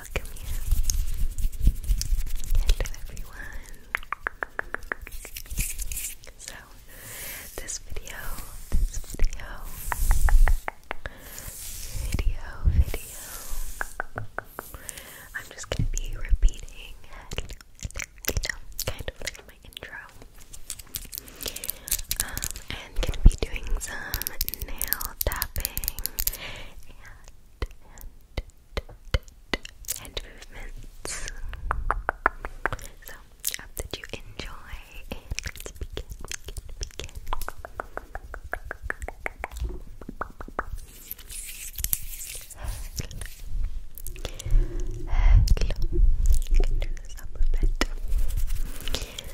welcome everyone. So, this video, this video, video, video. I'm just gonna be repeating kind of like my intro. Um, I'm gonna be doing some nail tapping and movements. So I hope that you enjoy let's begin, begin, begin.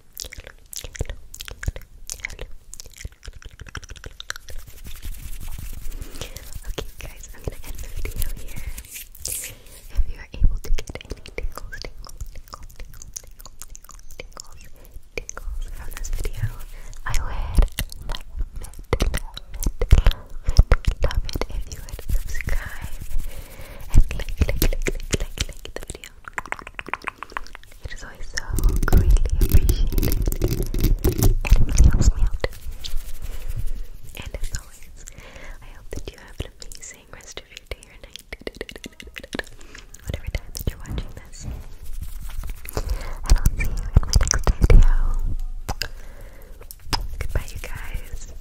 Okay, guys, I'm gonna end the video here. If you are able to get any tingles, tingles, tingles, tingles, tingles, tingles, tingles from this video, I would love it, love it, love it, love it if you would subscribe and click, click, click, click, click, click the video. It is always so greatly appreciated. It And as always, I hope that you have an amazing rest of your day or night. Whatever time that you're watching this. I'll see you in my next video. Goodbye you guys.